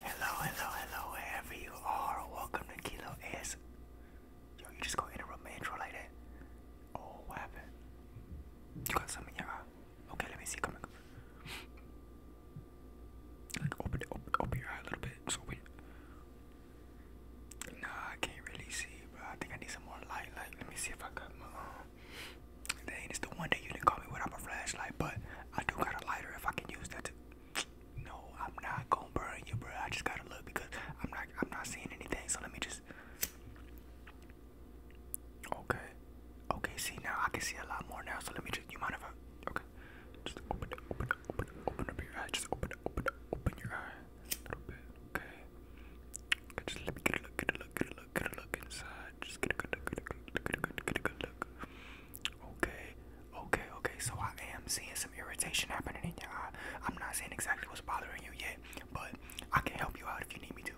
Hello, hello, hello, wherever you are, welcome to Kilo S. Yo, you just go interrupt my intro like that. Oh, what You got something in your Okay, let me see. Come on. Like, open, it, open, your eye a little bit. Just open Nah, I can't really see, bro. I think I need some more light. Like, let me see if I got my. Um, it's the one day you didn't call me without my flashlight, but I do got a lighter if I can use that no, I'm not gonna burn you, bro. I just gotta look because I'm not, I'm not seeing anything. So let me just. Okay. Okay. See now, I can see a lot more now. So let me just. You mind if I? Okay. Just open, it, open, it, open, it, open up your eye. Just open, it, open, it, open your eye a little bit. Okay. okay just let me get a look, get a look, get a look, get a look inside. Just get a good look, get a good look, get a good, get a good look. Okay, okay, okay. So I am seeing some irritation happening in your eye. I'm not saying exactly what's bothering you yet, but I can help you out if you need me to.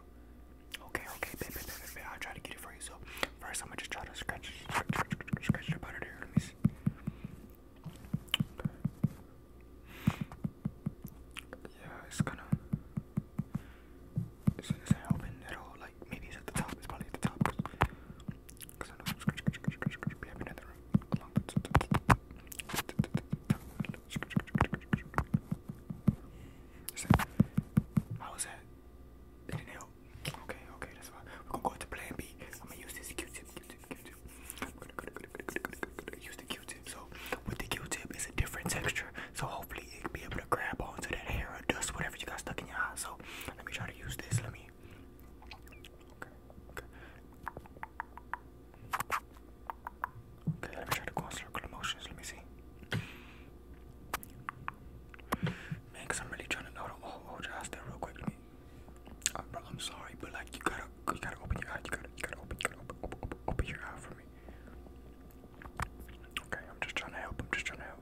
Okay, okay, baby, baby, baby. I'll try to get it for you. So first, I'm gonna just try to scratch, scratch, scratch the butter there. Let me see. Yeah, it's gonna. Is it open at all? Like maybe it's at the top. It's probably at the top. Cause I know How was that? didn't help. Okay, okay, that's fine. We're gonna go to Plan B. I'm gonna use this Q-tip, Q-tip, Q-tip. Use the Q-tip. So with the Q-tip, it's a different texture. So hopefully be able to grab onto that hair or dust, whatever you got stuck in your eye. So let me try to use this. Let me. Okay. Okay. Okay. Let me try to go in circular motions. Let me see. Man, i I'm really trying to know. Hold, hold your eyes there real quick. bro, I'm sorry, but like you gotta, you gotta open your eye. You gotta, you gotta open, open, open, your eye for me. Okay, I'm just trying to help. I'm just trying to help.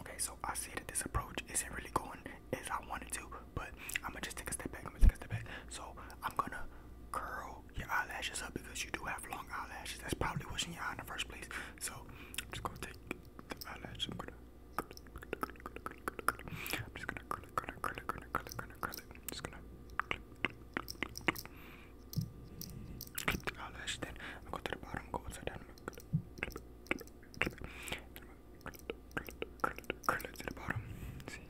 Okay, so I see that this approach isn't really going as I wanted to, but I'm gonna just take a step back. I'm gonna take a step back. So I'm gonna curl your eyelashes up because you do have long eyelashes. That's probably what's in your eye in the first place. So I'm just gonna take the eyelash. I'm gonna. I'm just gonna curl it, curl it, curl it, curl it, curl it, curl it, curl it. I'm just gonna clip, clip, clip, clip, clip the eyelash. Then I'm gonna go to the bottom, go inside down curl it to the bottom. See?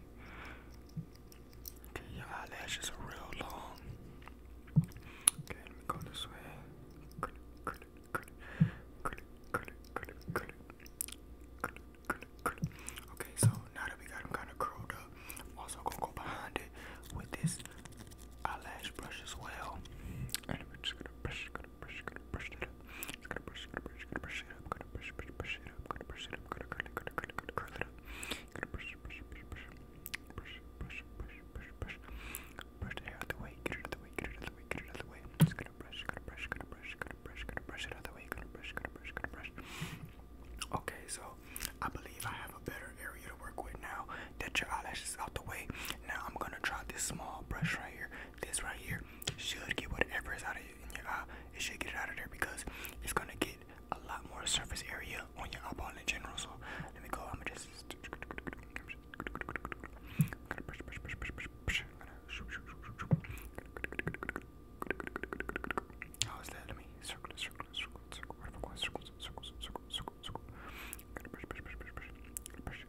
Okay, your eyelashes are real long. Okay, let me go this way. Curl it, curl it, curl it, curl it, curl it, curl it, curl it, curl it, curl it, curl it. Okay, so now that we got them kind of curled up, I'm also gonna go behind it with this eyelash brush as well. And we're just gonna brush, gonna brush, gonna brush it up. Just gonna brush, gonna brush, gonna brush it up. Gonna brush, brush, brush it up. Gonna brush it up. Gonna curl it, gonna curl it, gonna curl it up. Gonna brush, brush, brush, brush, brush, brush, brush, brush, brush. Brush the hair out the way. Get it out the way. Get it out the way. Get it out the way. I'm just gonna brush, gonna brush, gonna brush, gonna brush, gonna brush it out the way. Gonna brush, gonna brush, gonna brush. Okay, so I believe I have a better area to work with now that your eyelashes out the way. Now I'm gonna try this small brush right here. This right here should get whatever is out of in your eye. It should get it out of there because it's gonna get a lot more surface area on your eyeball in general. So let me go. I'm gonna just. Gonna brush, brush, brush, brush, brush, brush. How is that? Let me circle, circle, circle, circle. What if I go circles, circles, circles, circles, circles? Gonna brush, brush, brush, brush, brush, brush,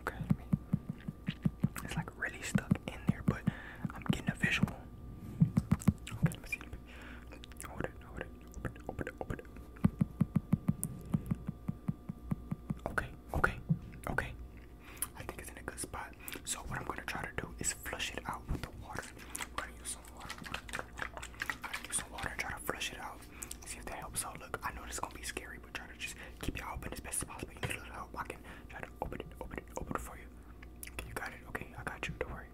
Okay, It's like really stuck in there, but I'm getting a visual. Okay, let me see. Let it, open it, open it, open it. Okay, okay, okay. I think it's in a good spot. So what I'm gonna try to do is flush it out with the water. gonna use some water. Get some water, and try to flush it out. See if that helps out. Look, I know this is gonna be scary, but try to just keep your eye open as best as possible. You need a little help. I can try to open it, open it, open it for you. Okay, you got it. Okay, I got you. Don't worry.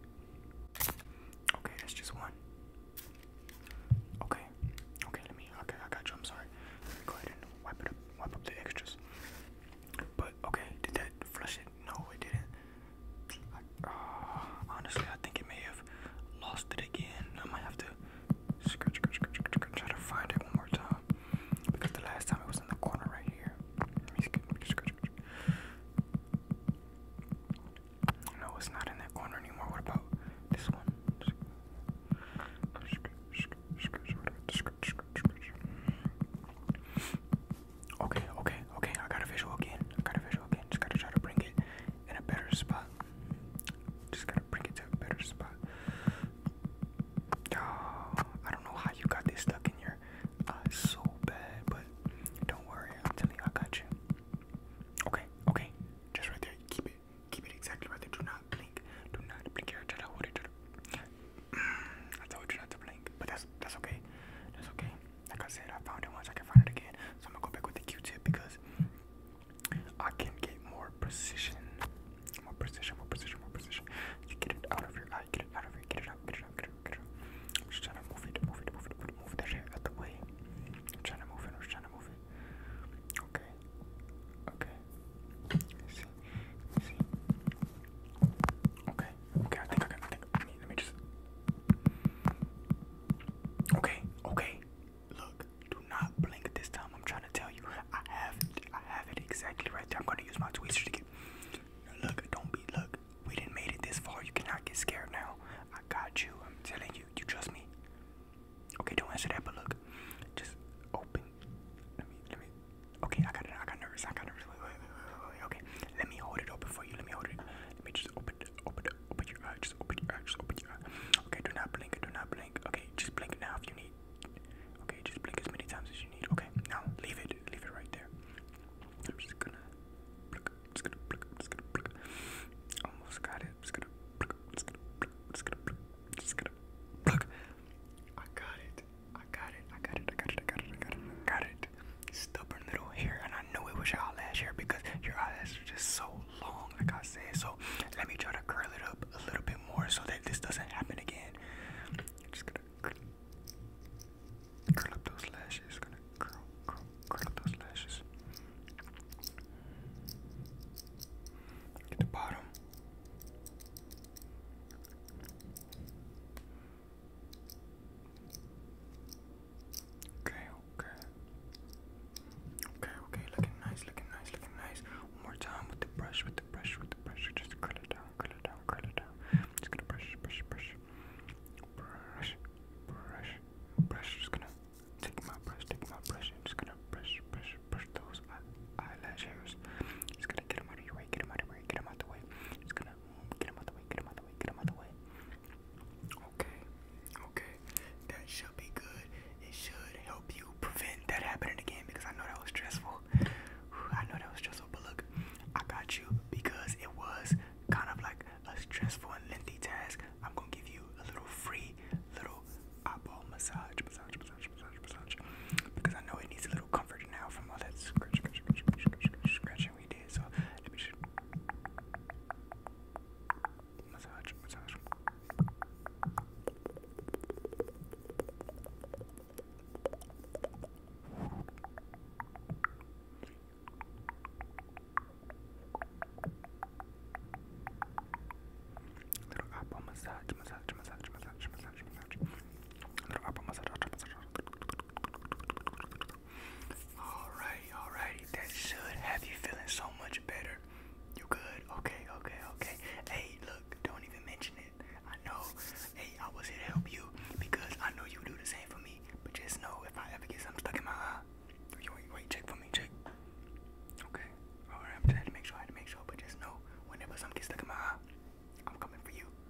Okay, that's just one. Okay, okay, let me. Okay, I got you. I'm sorry. Let me go ahead and wipe it up, wipe up the extras. But okay, did that flush it? No, it didn't. I, uh, honestly, I think it may have lost it again. I might have to scratch, scratch, scratch, scratch, try to find it one more time because the last time it was in the corner right here. Let me scratch, scratch, scratch. No, it's not in that corner anymore. What about this one? Scratch, scratch, scratch, scratch, scratch. Okay, okay, okay. I got a visual again. I got a visual again. Just gotta try to bring it in a better spot. Just gotta bring it to a better spot. I don't know how you got this stuck in your eye so bad, but don't worry. I'm telling you, I got you. Okay, okay. Just right there. Keep it. Keep it exactly right there. Do not blink. Do not blink. Here, try to hold I told you not to blink, but that's that's okay. That's okay. Like I said, I found it once, I can find it again. So I'm gonna go back with the Q-tip because I can get more precision, more precision, more precision, more precision. You get it out of your eye, get it out of your, get it out, get it out, get it out, get it out. I'm just trying to move it, move it, move it, move it, move that shit out the way. I'm trying to move it, I'm just trying to move it. Okay, okay. Let's see, let's see. Okay, okay, I think I got, I think let me, just. Okay, okay. Look, do not blink this time. I'm trying to tell you. I have it. I have it exactly right there. I'm gonna use my tweezers to get. Look, don't be. Look, we didn't made it this far. You cannot get scared now. I got you. I'm telling you. You trust me. Okay, don't answer that. But look, just open. Let me. Let me. Okay, I got it. I got nervous. I got nervous. Wait, Okay, let me hold it open for you. Let me hold it. Let me just open it, open it, open your eye. Just open your eye. Just open your eye. Okay, do not blink. Do not blink. Okay, just blink now if you need. Okay, just blink as many times as you need. Okay, now leave it. Leave it right there. I'm just gonna blink. Just gonna blink. Just gonna blink. Almost got it. Just gonna blink. Just gonna blink. Just gonna blink. Just gonna blink. I got it. I got it. I got it. I got it. I got it. I got it. I got it stubborn little hair, and I knew it was your eyelash hair because your eyelashes are just so long, like I said. So let me try to curl it up a little bit more so that this doesn't happen again. just gonna curl, up those lashes. Gonna curl, curl, curl up those lashes. At the bottom. Okay, okay. Okay, okay, looking nice, looking nice, looking nice. One more time with the brush, with the brush, with the brush. Just curl it down, curl it down, curl it down. Just gonna brush, brush, brush. Brush, brush, brush. Just gonna take my brush, take my brush, just gonna brush, brush, brush those eye eyelash hairs. Just gonna get them out of your way, get them out of your way, get them out of the way. Just gonna Get him out the way, get him out the way, get him out the way. Okay, okay. That should be good. It should help you prevent that happening again because I know that was stressful. I know that was stressful, but look, I got you because it was kind of like a stressful and lengthy task. I'm gonna give you a little free little eyeball massage, massage, massage, massage, massage. Because I know it needs a little comfort now from all that scratch, scratch, scratch, scratch, scratch, scratch, massaging we did. So let me just massage, massage. Little apple massage, massage, massage, massage, massage, massage. Little apple massage, massage, massage. Alrighty, alrighty. That should have you feeling so much better. You good? Okay, okay, okay. Hey, look, don't even mention it. I know. Hey, I was here to help you because I know you do the same for me. But just know if I ever get stuck in my you wait, wait, check for me, check. Okay. Alright, I'm make sure I make sure, but just know whenever something gets stuck in my I'm coming for you.